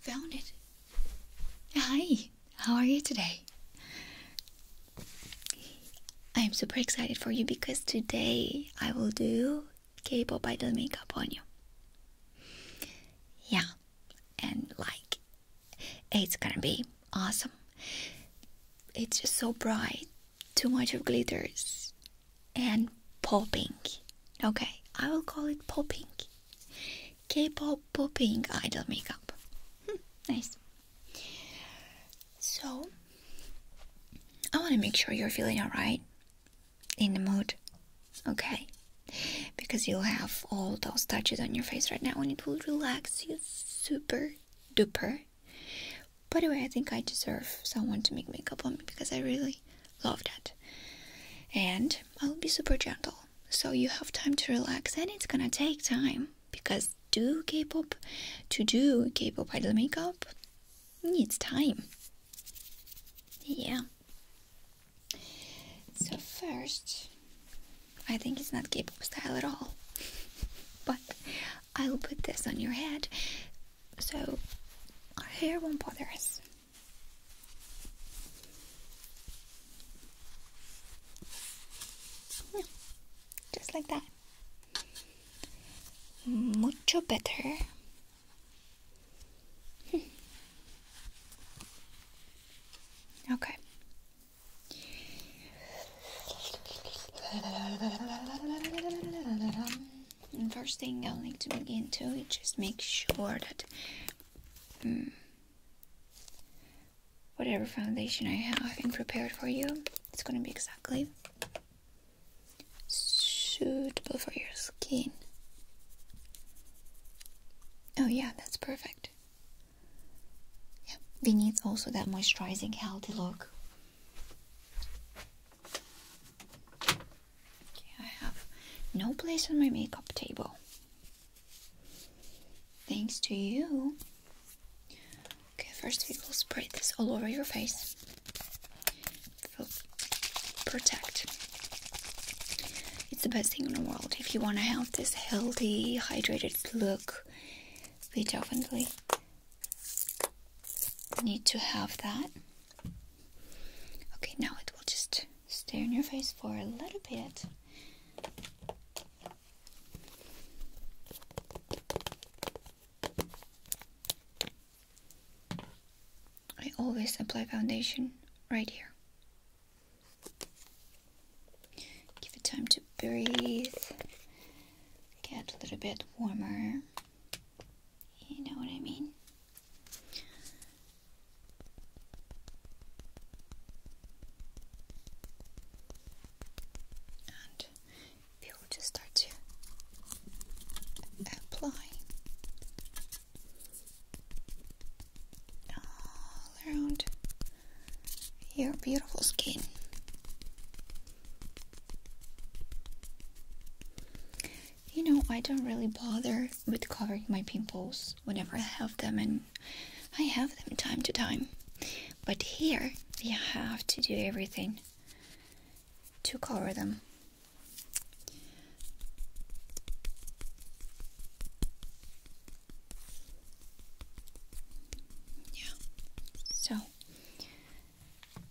Found it. Hi, how are you today? I am super excited for you because today I will do K pop idol makeup on you. Yeah, and like, it's gonna be awesome. It's just so bright, too much of glitters, and popping. Okay, I will call it popping. K-pop popping idol makeup. Hmm, nice. So, I want to make sure you're feeling alright, in the mood, okay? Because you'll have all those touches on your face right now and it will relax you super duper. By the way, I think I deserve someone to make makeup on me because I really Love that. And I'll be super gentle. So you have time to relax and it's gonna take time because do K-pop to do K-pop idol makeup needs time. Yeah. So first I think it's not K-pop style at all. but I'll put this on your head so our hair won't bother us just like that. Mucho better. Hmm. okay. And first thing I will need to begin to is just make sure that mm, whatever foundation I have and prepared for you, it's gonna be exactly suitable for your skin. Oh yeah, that's perfect. Yeah, we need also that moisturizing healthy look. Okay, I have no place on my makeup table. Thanks to you. Okay, first we will spray this all over your face. it protect. It's the best thing in the world if you want to have this healthy, hydrated look. We definitely need to have that. Okay, now it will just stay on your face for a little bit. I always apply foundation right here. Give it time to breathe, get a little bit warmer. You know what I mean? And we will just start to apply all around your beautiful skin you know, I don't really bother with covering my pimples whenever I have them, and I have them time to time. But here, we have to do everything to cover them. Yeah, so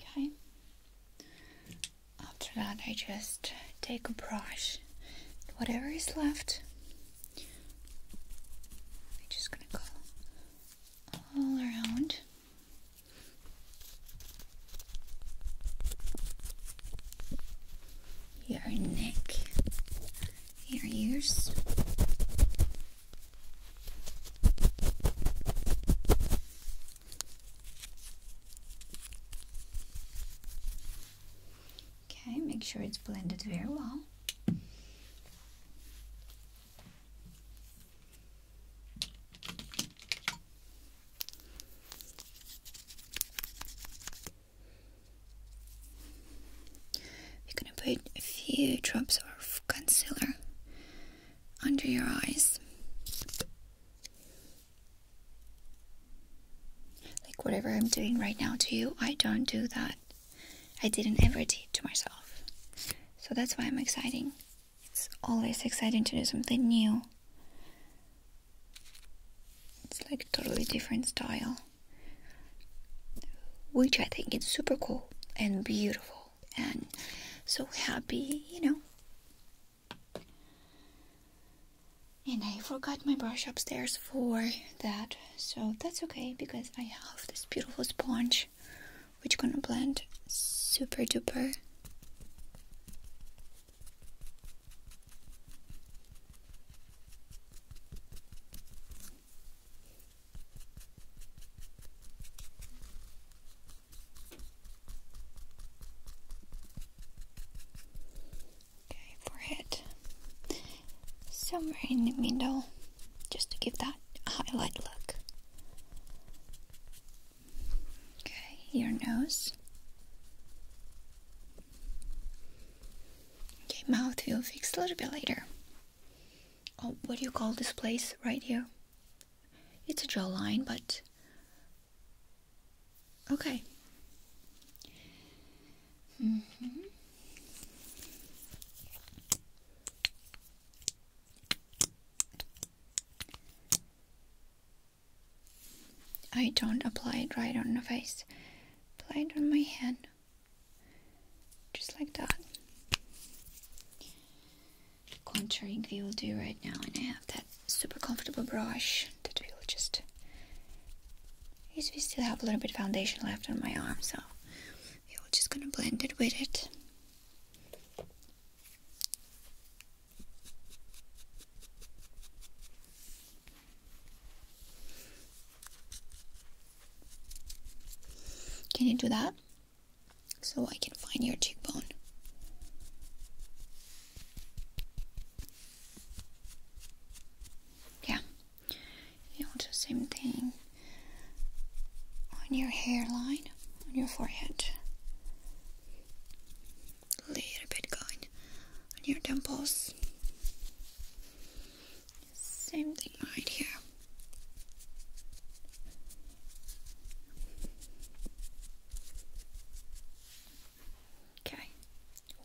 Okay. After that, I just take a brush, whatever is left. I'm just gonna go all around your neck, your ears. Okay, make sure it's blended very well. You're gonna put a few drops of concealer under your eyes. Like whatever I'm doing right now to you, I don't do that. I didn't ever do it to myself. So that's why I'm exciting. It's always exciting to do something new. It's like totally different style. Which I think is super cool and beautiful and so happy, you know. And I forgot my brush upstairs for that, so that's okay because I have this beautiful sponge which gonna blend super duper Okay, forehead somewhere in the middle, just to give that a highlight look. Okay, your nose. Okay, mouth we'll fix a little bit later. Oh, what do you call this place right here? It's a jawline, but. Okay. Mm-hmm. I don't apply it right on the face. Apply it on my hand. Just like that. Contouring we will do right now and I have that super comfortable brush that we will just... Yes, we still have a little bit foundation left on my arm, so we're just gonna blend it with it. Can you do that? So I can find your cheekbone. Yeah. You do the same thing on your hairline, on your forehead a little bit going on your temples. Same thing right here. Okay,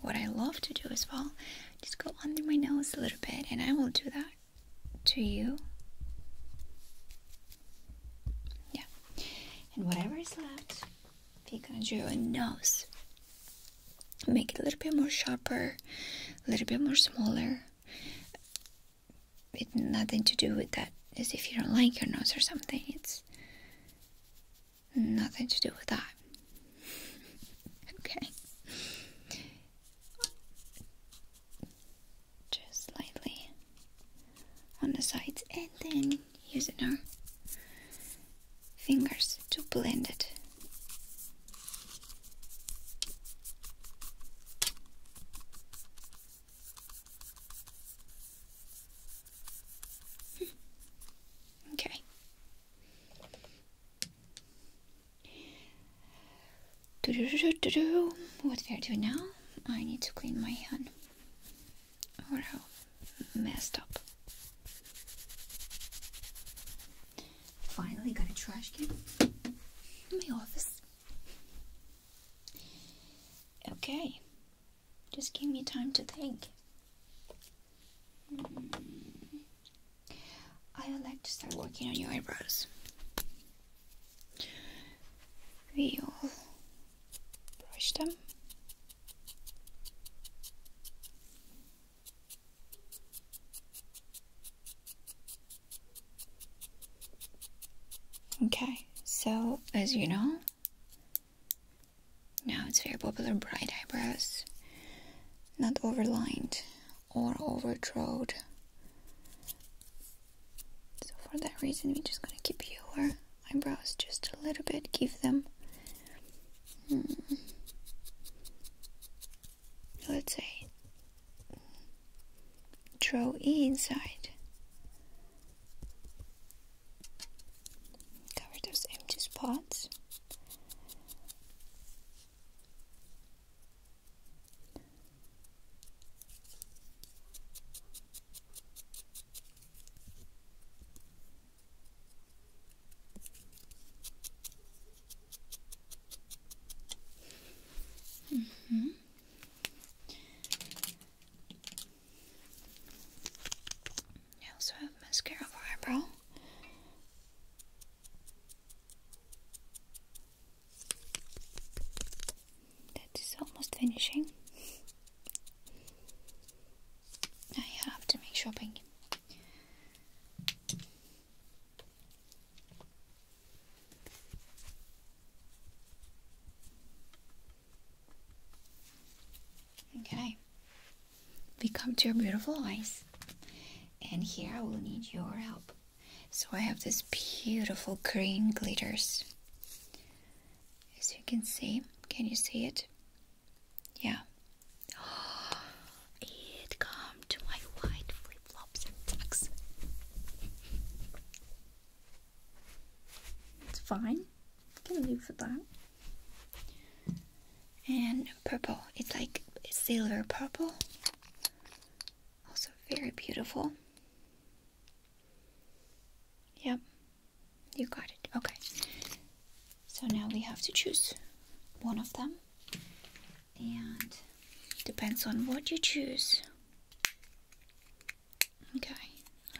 what I love to do as well, just go under my nose a little bit, and I will do that to you yeah. And whatever is left, you are gonna draw a nose. Make it a little bit more sharper, a little bit more smaller. It's nothing to do with that as if you don't like your nose or something. It's nothing to do with that. okay just lightly on the sides and then using our fingers to blend it. Hmm. okay. What we are doing now, I need to clean my hand. We're messed up. Finally got a trash can in my office. Okay. Just give me time to think. I would like to start working on your eyebrows. We brush them. Okay, so as you know, now it's very popular bright eyebrows, not overlined or overdrawn so for that reason, we're just gonna keep your eyebrows just a little bit, give them, hmm, let's say, draw inside. Cover those empty spots. Mm -hmm. I also have mascara for eyebrow. That is almost finishing. Now you have to make shopping. Okay, we come to your beautiful eyes, and here I will need your help. So I have this beautiful green glitters. As you can see, can you see it? Yeah. it come to my white flip-flops and tux. it's fine. I can live with that. And purple. It's like silver purple. Also very beautiful. Yep, you got it. Okay, so now we have to choose one of them, and depends on what you choose. Okay,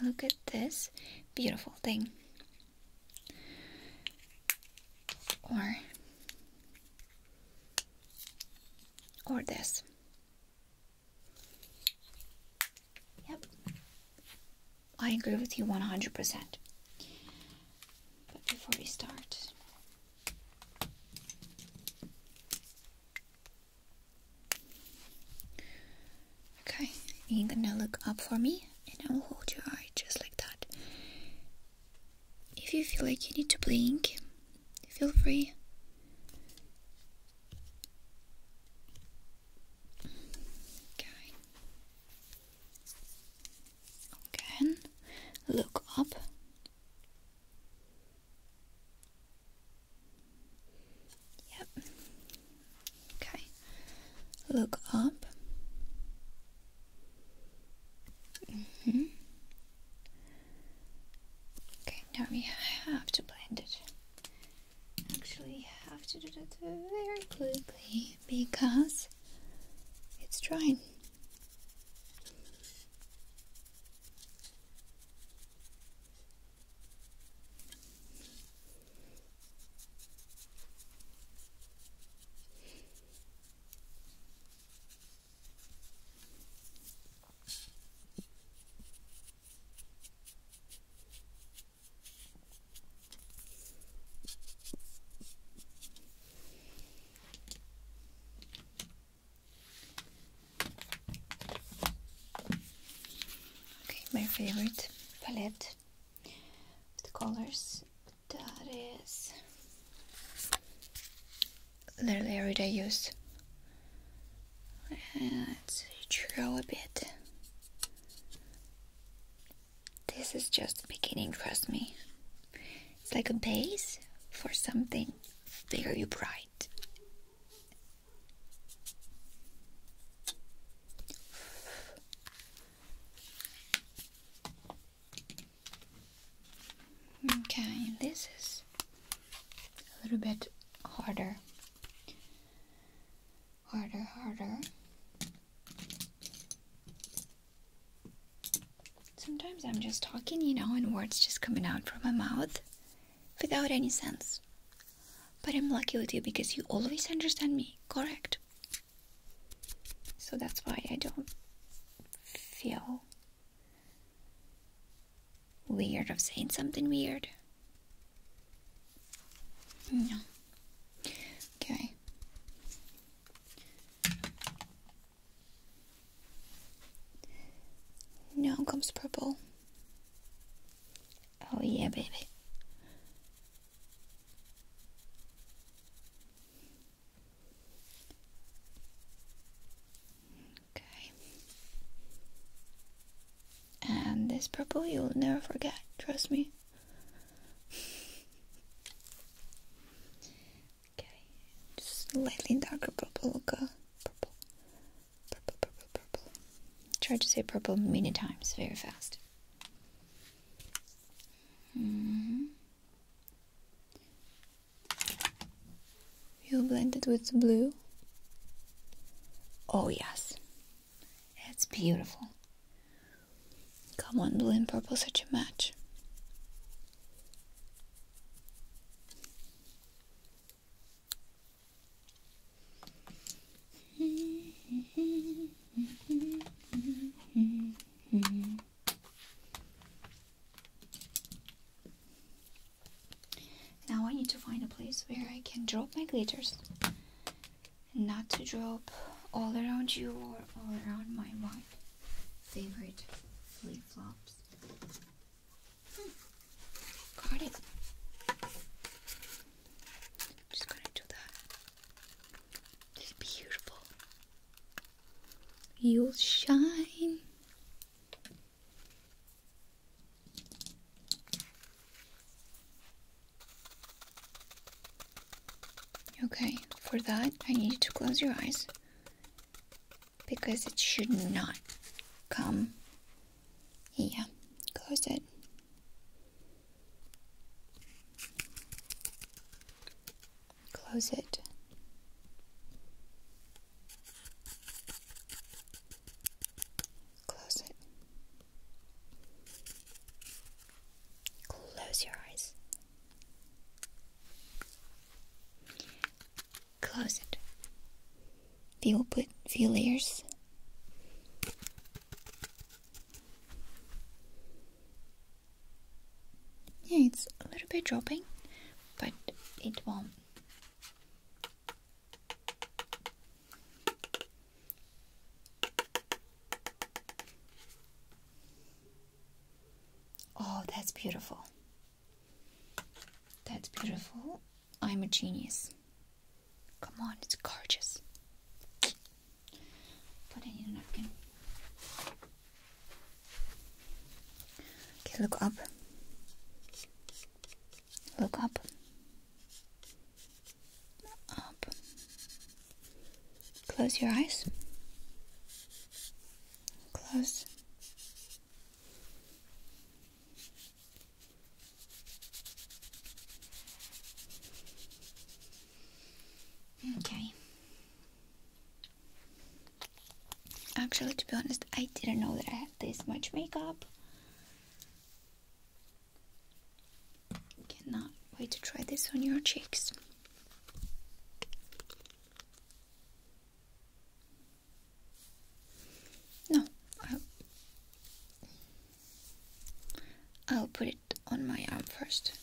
look at this beautiful thing. Or or this Yep. I agree with you 100%. But before we start, okay, you're gonna look up for me and I will hold your eye just like that. If you feel like you need to blink, feel free. Okay. Again, look up. Yep. Okay. Look up. -hmm. Okay, now we have to blend it. Actually, have to do that very quickly because it's drying. Okay, my favorite palette with colors that is their everyday use. Let's draw a bit. This is just the beginning, trust me. It's like a base for something very bright. Okay, this is a little bit harder. Harder, harder. Sometimes I'm just talking, you know, and words just coming out from my mouth without any sense. But I'm lucky with you because you always understand me, correct? So that's why I don't feel Weird of saying something weird. Okay. Now comes purple. Oh yeah, baby. Okay. And this purple you'll never forget, trust me. okay, just slightly darker purple, go. Purple, purple, purple, purple. Try to say purple many times, very fast. Mm -hmm. You'll blend it with blue. Oh, yes. It's beautiful. Come on, blue and purple, such a match. Now I need to find a place where I can drop my glitters. Not to drop all around you or all around my one favorite flip flops. Hmm. Got it. just gonna do that. It's beautiful. You'll shine Okay, for that I need you to close your eyes because it should not come. Yeah, close it close it. Close it. Close your eyes. Close it. We will put few layers. Yeah, it's a little bit dropping, but it won't. Oh, that's beautiful. That's beautiful. I'm a genius. Come on, it's gorgeous. Put in a napkin. Okay, look up. Look up. Up. Close your eyes. Close. Okay. Actually, to be honest, I didn't know that I had this much makeup. Cannot wait to try this on your cheeks. No, I'll, I'll put it on my arm first.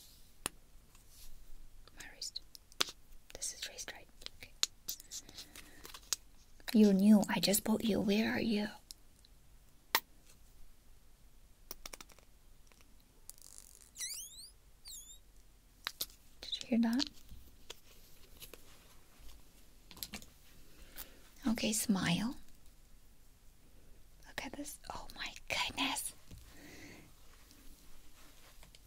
My wrist. This is wrist, right? Okay. You're new. I just bought you. Where are you? Did you hear that? Okay, smile. Look at this. Oh my goodness.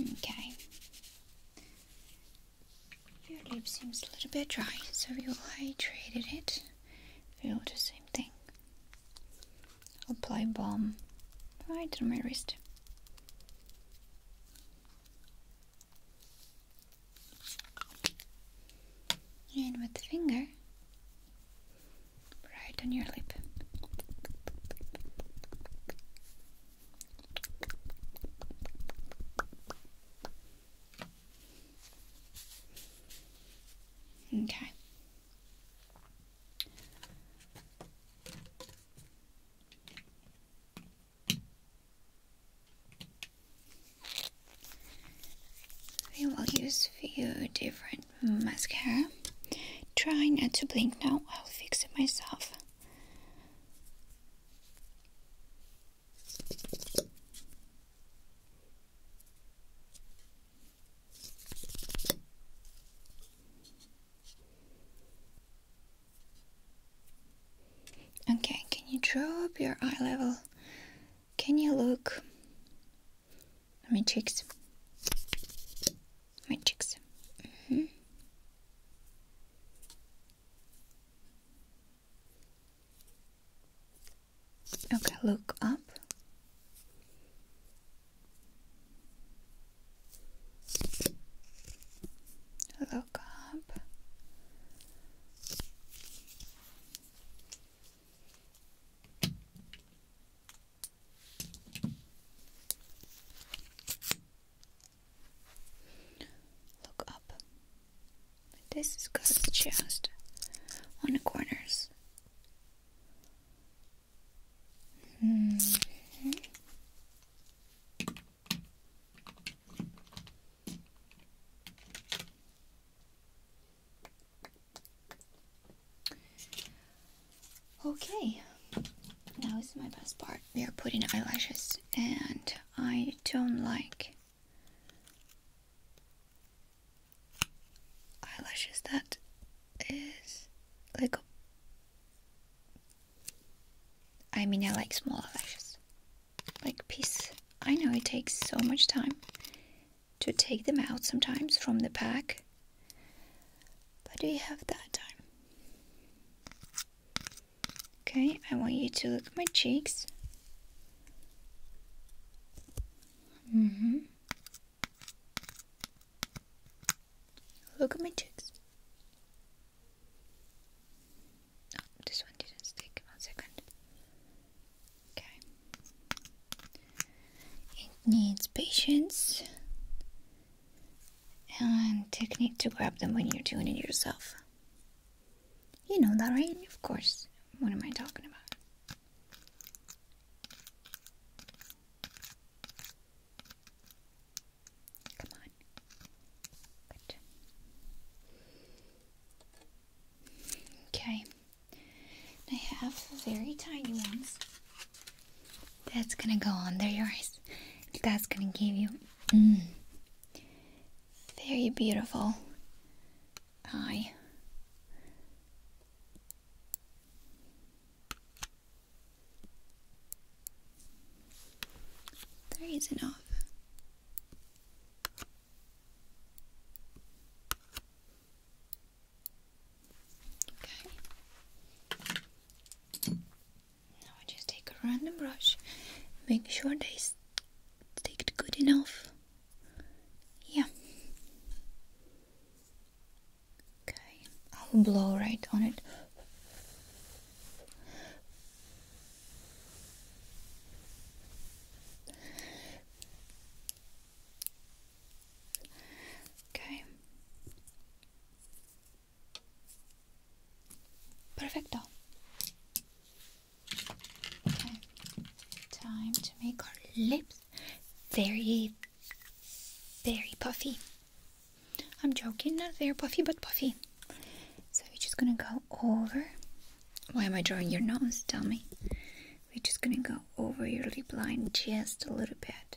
Okay. Your lip seems a little bit dry, so you will hydrated it. We will do the same thing. Apply balm right on my wrist. And with the finger, right on your lip. Okay. We will use few different mascara. Try not to blink now, I'll fix it myself. Okay, can you draw up your eye level? Can you look at my cheeks? My cheeks. -hmm. Okay, look up. Look up. Look up. This is cuts just on the corners. Mm-hmm. Okay, now is my best part. We are putting eyelashes, and I don't like eyelashes that is like a, I mean I like small eyelashes like piece I know it takes so much time to take them out sometimes from the pack but we have that time okay I want you to look at my cheeks Mm-hmm. Look at my cheeks. Oh, this one didn't stick. One second. Okay. It needs patience and technique to grab them when you're doing it yourself. You know that, right? Of course. What am I talking about? Come on. Okay. I have very tiny ones. That's gonna go under your eyes. That's gonna give you mm, very beautiful Hi. There is enough. Okay. Now I just take a random brush, make sure they take it good enough. Yeah. Okay, I'll blow right on it. Okay. Perfecto. Okay. Time to make our lips very, very puffy. I'm joking, not very puffy, but puffy. So we're just gonna go over. Why am I drawing your nose? Tell me. We're just gonna go over your lip line just a little bit.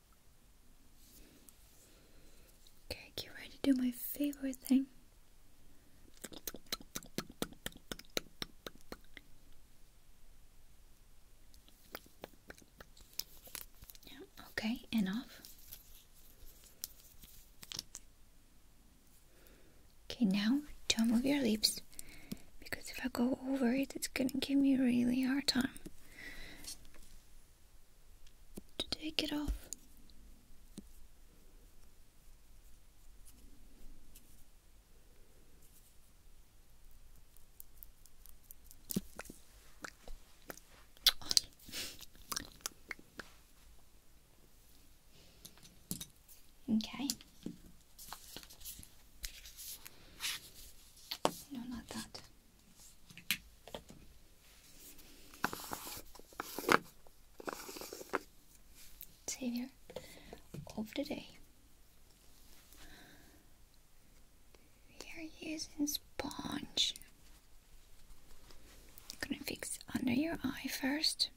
Okay, get ready to do my favorite thing. Yeah, okay, enough. Okay, now don't move your lips because if I go over it, it's gonna give me a really hard time to take it off. Okay. No, not that. Savior of the day. We are using sponge. gonna fix under your eye first.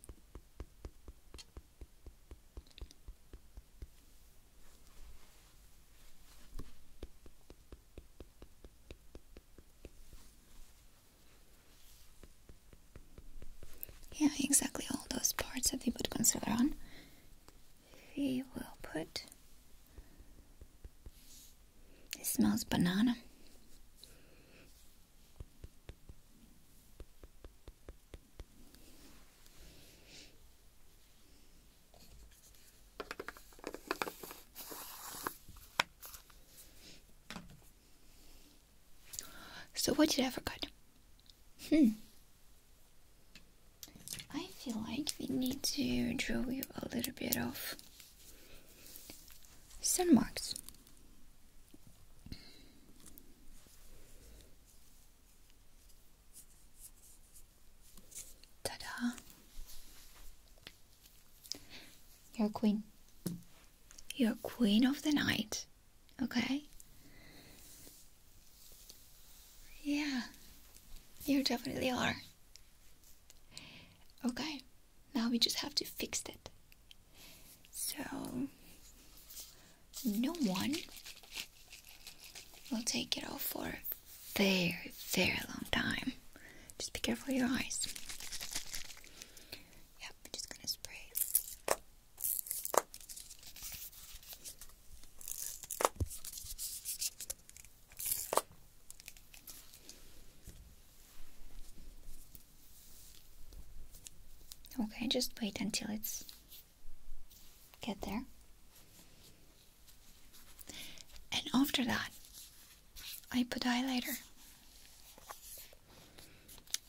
Yeah, exactly all those parts that we put concealer on. We will put. It smells banana. So, what did I forget? Hmm. I feel like we need to draw you a little bit of sun marks. Ta-da! You're queen. You're queen of the night, okay? Yeah, you definitely are. Okay, now we just have to fix it. So, no one will take it all for very, very long time. Just be careful of your eyes. Yep, just gonna spray. Okay, just wait until it's get there. And after that, I put eyeliner.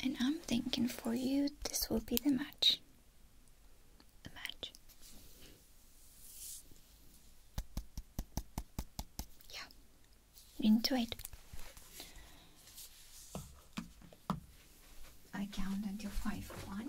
And I'm thinking for you, this will be the match. The match. Yeah, into it. I count until five. One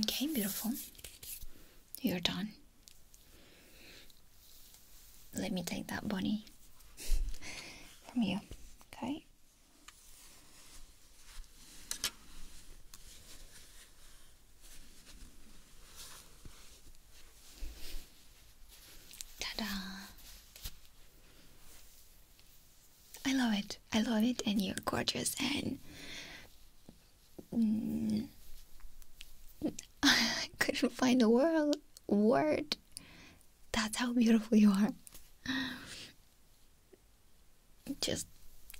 Okay, beautiful. You're done. Let me take that bunny from you, okay? Ta-da! I love it. I love it, and you're gorgeous, and I couldn't find a word. Word. That's how beautiful you are just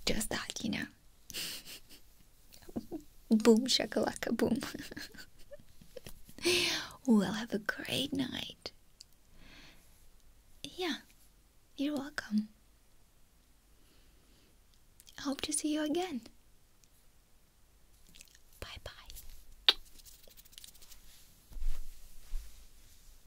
just that you know boom shakalaka boom well have a great night yeah you're welcome I hope to see you again bye bye